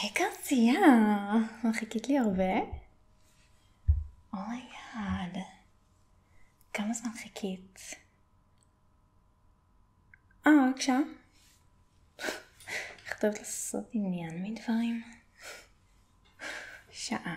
היי קרצייה, חיכית לי הרבה? אומייגאד, oh כמה זמן חיכית? אה, רק איך טוב לעשות עניין מדברים? שעה.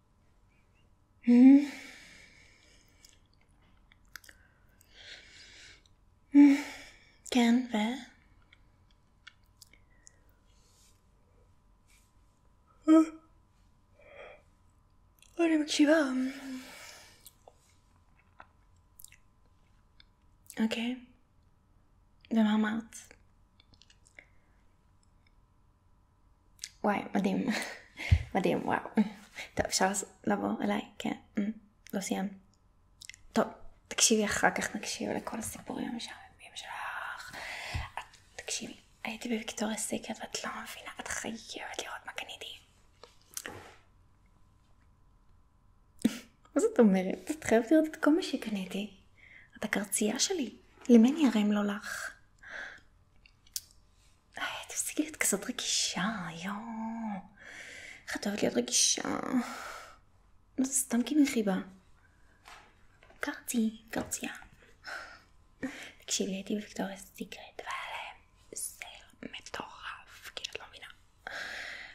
Mm -hmm. Can wear. What about you? Um, okay. Then I'm out. וואי, מדהים. מדהים, וואו. טוב, אפשר לעבור אליי? כן. Mm, לא סיימת. טוב, תקשיבי אחר כך, נקשיב לכל הסיפורים המשעממים שלך. את, תקשיבי, הייתי בוויקטוריה סיקרט ואת לא מבינה, את חייבת לראות מה קניתי. מה זאת אומרת? את חייבת לראות את כל מה שקניתי. את הקרצייה שלי. למני הרי לא לך. איי, תפסיקי להיות כזאת רגישה, יואו. איך את אוהבת להיות רגישה? זה סתם כאילו חיבה. קרצי, קרצייה. תקשיבי, הייתי בוויקטוריה סיקרט, והיה להם מטורף, כאילו את לא מבינה.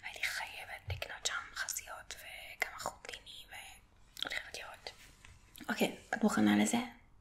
הייתי חייבת לקנות שם חסיות וכמה חוטיני, והולכת לראות. אוקיי, את מוכנה לזה?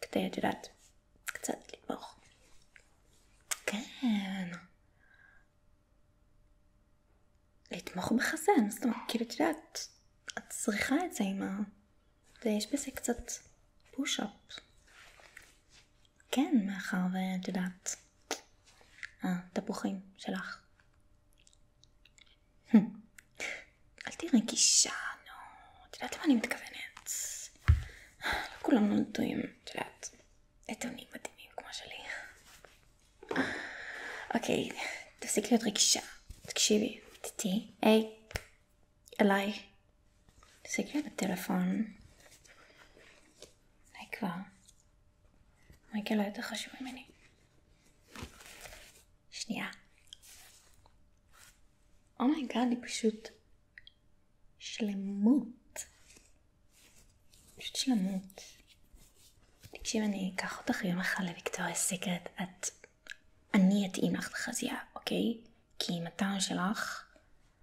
כדי, את יודעת, קצת לתמוך. כן. לתמוך בחזן, זאת אומרת, כאילו, את יודעת, את צריכה את זה עם ה... ויש בזה קצת פוש-אפ. כן, מאחר ואת יודעת, התפוחים אה, שלך Hmm. אל תראי גישה, נו. את יודעת למה אני מתכוונת? לא כולם נולדויים, את יודעת, עיתונים מדהימים כמו שלי. אוקיי, תפסיק להיות רגישה. תקשיבי, תתי, היי, אליי. תפסיק להיות בטלפון. די כבר. מייקל לא יותר חשוב ממני. שנייה. אומייגאד, oh היא פשוט שלמות. פשוט שלמות. תקשיב, אני אקח אותך יום אחד לוויקטוריה סיקרט. את... אני אתאים לך לחזייה, אוקיי? כי עם הטעם שלך,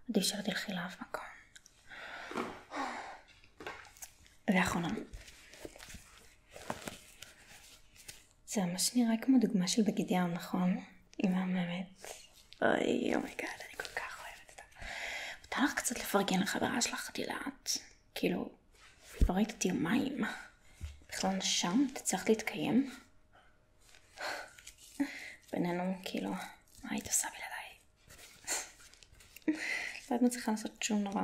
עדיף שלא תלכי לאף מקום. ואחרונה. זה ממש נראה כמו דוגמה של בגד ים, נכון? היא מהממת. אוי, אומייגאד, אני כל כך אוהבת אותה. מותר לך קצת לפרגן לחברה שלך, את יודעת? כאילו, לא ראית אותי יומיים. בכלל נשם? תצטרך להתקיים? בינינו, כאילו, מה היית עושה בלעדיי? לא היית מצליחה לעשות שום נורא.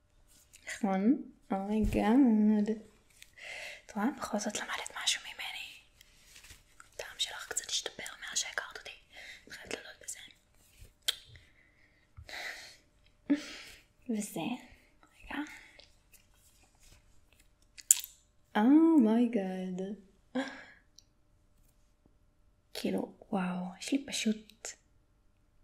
נכון? אומייגאד. את רואה? בכל זאת למדת משהו ממני. הטעם שלך קצת השתפר מאז שהכרת אותי. את חייבת להודות בזה. וזה, רגע. אומייגאד. Oh כאילו, וואו, יש לי פשוט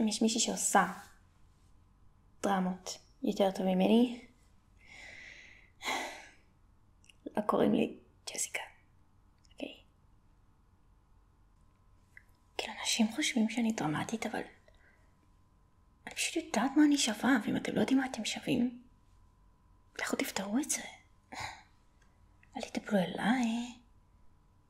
אם יש מישהי שעושה דרמות יותר טוב ממני, לא קוראים לי ג'סיקה, אוקיי? Okay. כאילו, אנשים חושבים שאני דרמטית, אבל אני פשוט יודעת מה אני שווה, ואם אתם לא יודעים מה אתם שווים, לכו תפתרו את זה. אל תדברו אליי,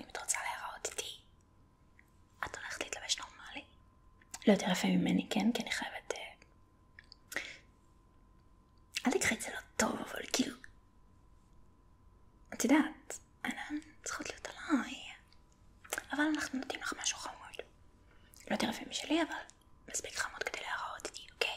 אם את רוצה להיראות איתי, את הולכת להתלבש נורמלי? לא יותר יפה ממני, כן? כי אני חייבת... אה, אל תקחי את זה לא טוב, אבל כאילו... את יודעת, העיניים צריכות להיות עליי. אבל אנחנו נותנים לך משהו חמוד. לא יותר יפה משלי, אבל מספיק חמוד כדי להיראות איתי, אוקיי?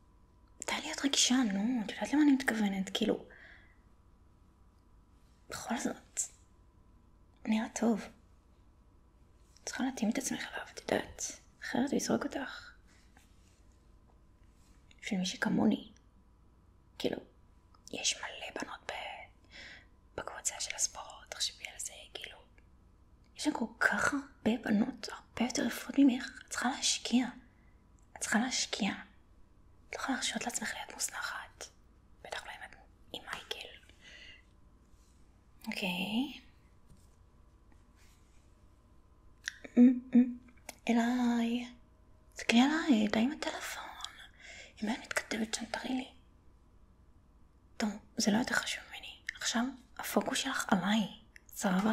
להיות רגישה, נו, את יודעת למה אני מתכוונת, כאילו... בכל זאת, נראה טוב. צריכה להתאים את עצמך אליו, את יודעת, אחרת הוא יזרוק אותך. בשביל מי שכמוני, כאילו, יש מלא בנות ב... בקבוצה של הספורט, תחשבי על זה, כאילו, יש לנו כל כך הרבה בנות, הרבה יותר יפות ממך, צריכה להשקיע. את צריכה להשקיע. את לא יכולה להרשות לעצמך להיות מוזנחת. בטח לא עם מייקל. אוקיי. אליי. תסתכלי עליי, די עם הטלפון. אם היית מתכתבת שם, תראי לי. טוב, זה לא יותר חשוב ממני. עכשיו הפוקוס שלך עליי, סבבה?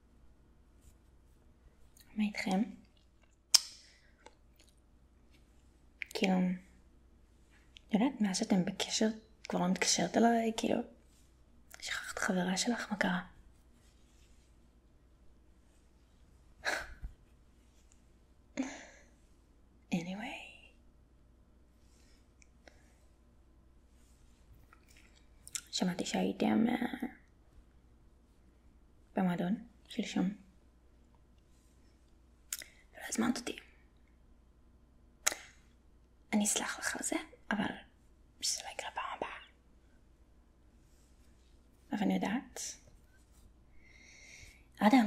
מה איתכם? כאילו, יודעת, מאז שאתם בקשר, כבר לא מתקשרת אליי, כאילו, שכחת חברה שלך, מה קרה? anyway. שמעתי שהייתם uh, במועדון שלשום. לא הזמנת אותי. אני אסלח לך על זה, אבל שזה לא יקרה פעם הבאה. אבל אני יודעת. אדם,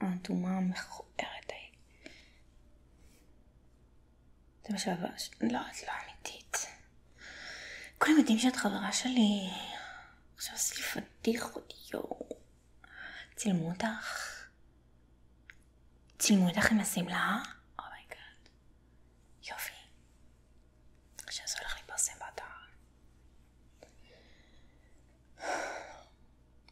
האדומה המכוערת זה מה שעבר... לא, את לא אמיתית. כולם יודעים שאת חברה שלי. עכשיו עשי פדיחות, יואו. צילמו אותך? צילמו אותך עם השמלה? אומייגאד. Oh יופי. עכשיו זה הולך להתפרסם באתר.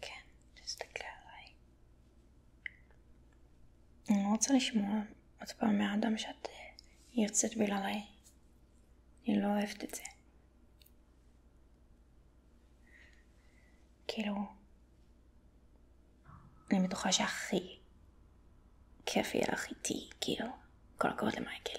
כן, תסתכל עליי. אני לא רוצה לשמוע עוד פעם מהאדם שאת אה, יוצאת בלעליי. אני לא אוהבת את זה. כאילו, אני בטוחה שהכי כיף יהיה לך איתי, כאילו, כל הכבוד למייקל.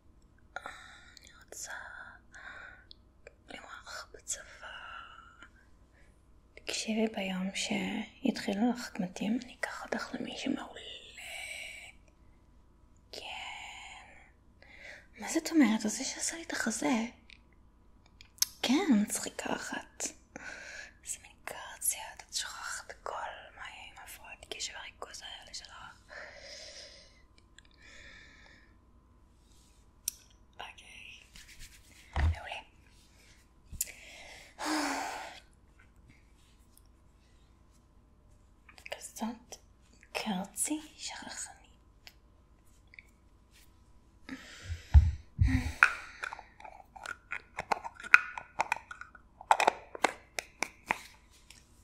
אני רוצה למרוח בצבא. תקשיבי ביום שיתחילו לך קמטים, אני אקח אותך למישהו מעולה. כן. מה זאת אומרת? זה שעשה לי את החזה. כן, מצחיקה אחת. איזה מין קרציה, את שוכחת כל מה עם הפרעת קשב הריכוז האלה שלך. אוקיי, מעולה. כזאת קרצי שכחנית.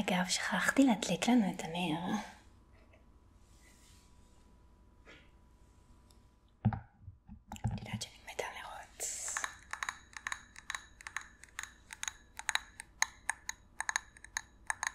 אגב, שכחתי להדליק לנו את הנר. את יודעת שאני מתה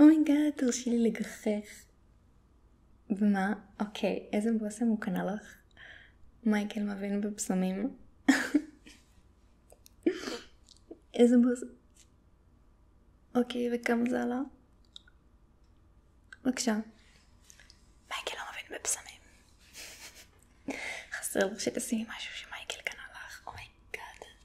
אומייגאד, oh תרשי לי לגחך. ומה? אוקיי, איזה בושם הוא קנה לך? מייקל מבין בבשמים. איזה בושם? אוקיי, וכמה זה עלה? בבקשה. מייקל לא מבין בבשמים. חסר לך שתשימי משהו שמייקל קנה לך, אומייגאד. Oh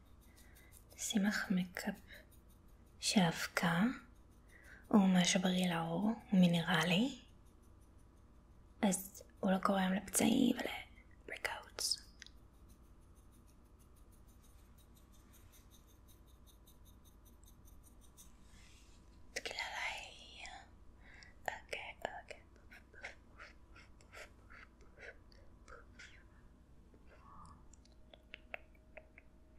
שימח מקפ של אבקה הוא מהשבריר לעור, הוא מינרלי, אז הוא לא גורם לפצעים ול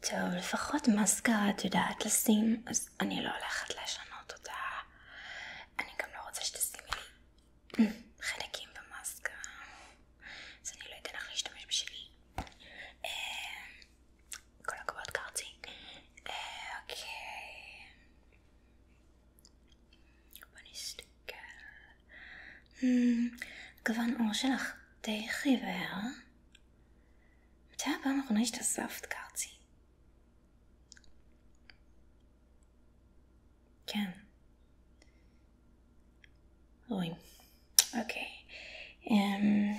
טוב, לפחות מאסקרה את יודעת לשים, אז אני לא הולכת לשנות אותה. אני גם לא רוצה שתשימי לי אה, חלקים במאסקרה, אז אני לא אתן לך להשתמש בשלי. אה, כל הכבוד קרצי. אה, אוקיי. בוא נסתכל. גוון עור שלך די חיוור. מתי הפעם האחרונה השתזפת, קרצי? כן. רואים. אוקיי. אמ,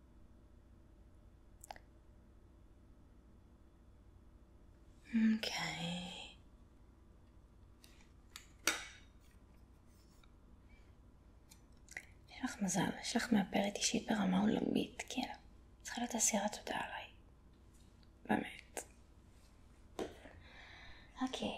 Okay. יש לך מזל, יש לך מאפרת אישית ברמה עולמית, כאילו. צריכה להיות אסירת תודה עליי. באמת. אוקיי.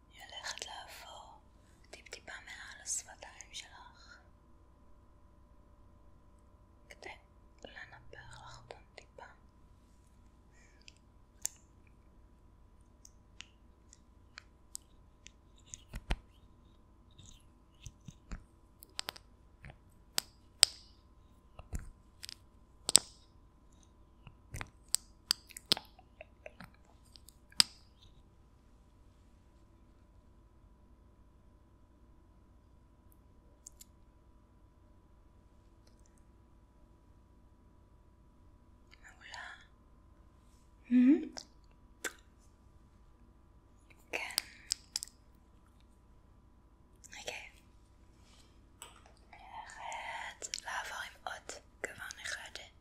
היא הולכת לעבור טיפ-טיפה מעל השפתיים שלך כדי לנפח לך אותם טיפה מעולה. Mm-hmm. כן. אוקיי. אני הולכת לעבור עם עוד גוון אחד.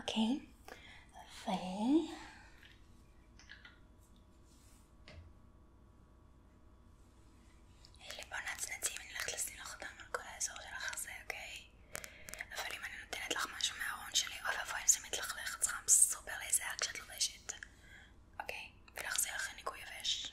ok vậy اللي بونات نتي من الخلص اللي نخدم من كل هزوج الخصي اوكي افري ما نوتنت لخ ماشو معون شلي اوفا فاين سميت الخليخ تخمس سوبر ليزاك شد البيشت اوكي بالخصي اخني كويا فاش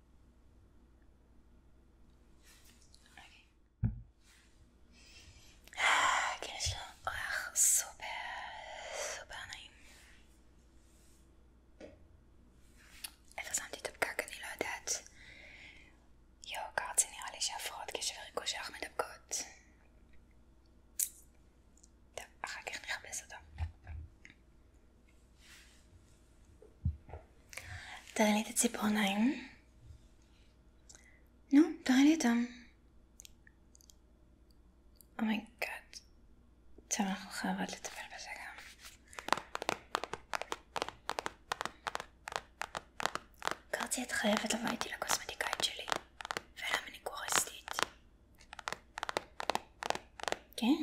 אוקיי. כן, יש לו ריח סופר סופר נעים. איפה שמתי את הפקק אני לא יודעת. יואו, קרצי נראה לי שהפרעות קשב וריכוז שלך מדבקות. טוב, אחר כך נחפש אותו. תראה לי את הציפורניים. נו, תראה לי אותם. אומייגאד. טוב, אנחנו חייבות לטפל בזה גם. קרצי, את חייבת לבוא איתי לקוסמטיקאית שלי. ולמניקוריסטית. כן.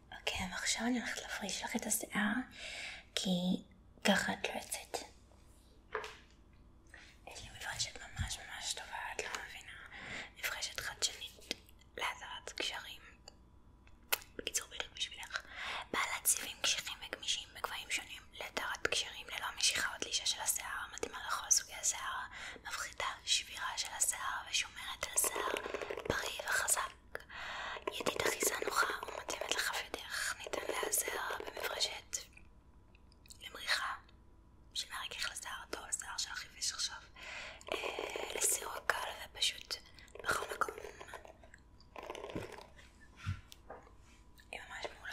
אוקיי, ועכשיו אני הולכת להפריש לך את השיער, כי ככה את לא יוצאת. לא שבירה של השיער ושומרת על שיער בריא וחזק. ידית אחיזה נוחה ומתאימת לכף ידך, ניתן להיעזר במברשת למריחה שמערכך לשיער הטוב, השיער שלך חיפש עכשיו, אה, לסירוע קל ופשוט בכל מקום. היא ממש מעולה.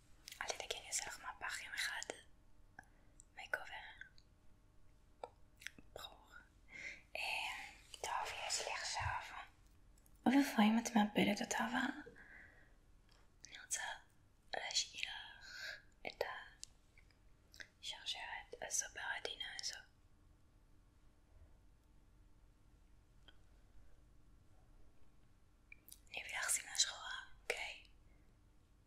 אל תדאגי אני אעשה לך מהפך יום אחד מייקובר ברור אה, את מאבדת אותה אבל אני רוצה להשאיר לך את השרשרת הסופר עדינה הזו אני אביא לך שמלה שחורה, אוקיי?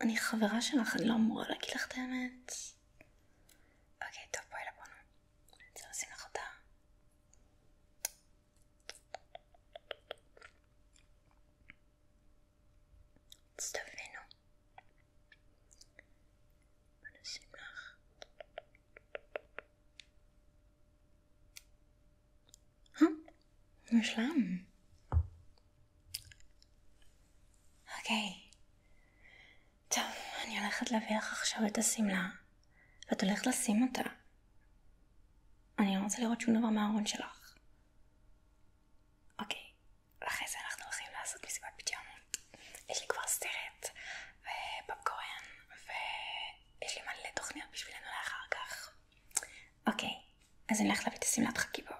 אני חברה שלך, אני לא אמורה להגיד לך את האמת. אוקיי, טוב, בואי לבונו. אני רוצה לשים לך אותה. תבינו. בוא נשים לך. Huh? Nur Schlamm. אוקיי. טוב, אני הולכת להביא לך עכשיו את השמלה, ואת הולכת לשים אותה. אני לא רוצה לראות שום דבר מהארון שלך. אוקיי, אוקיי, אז אני הולכת להביא את השמלת חכיבות.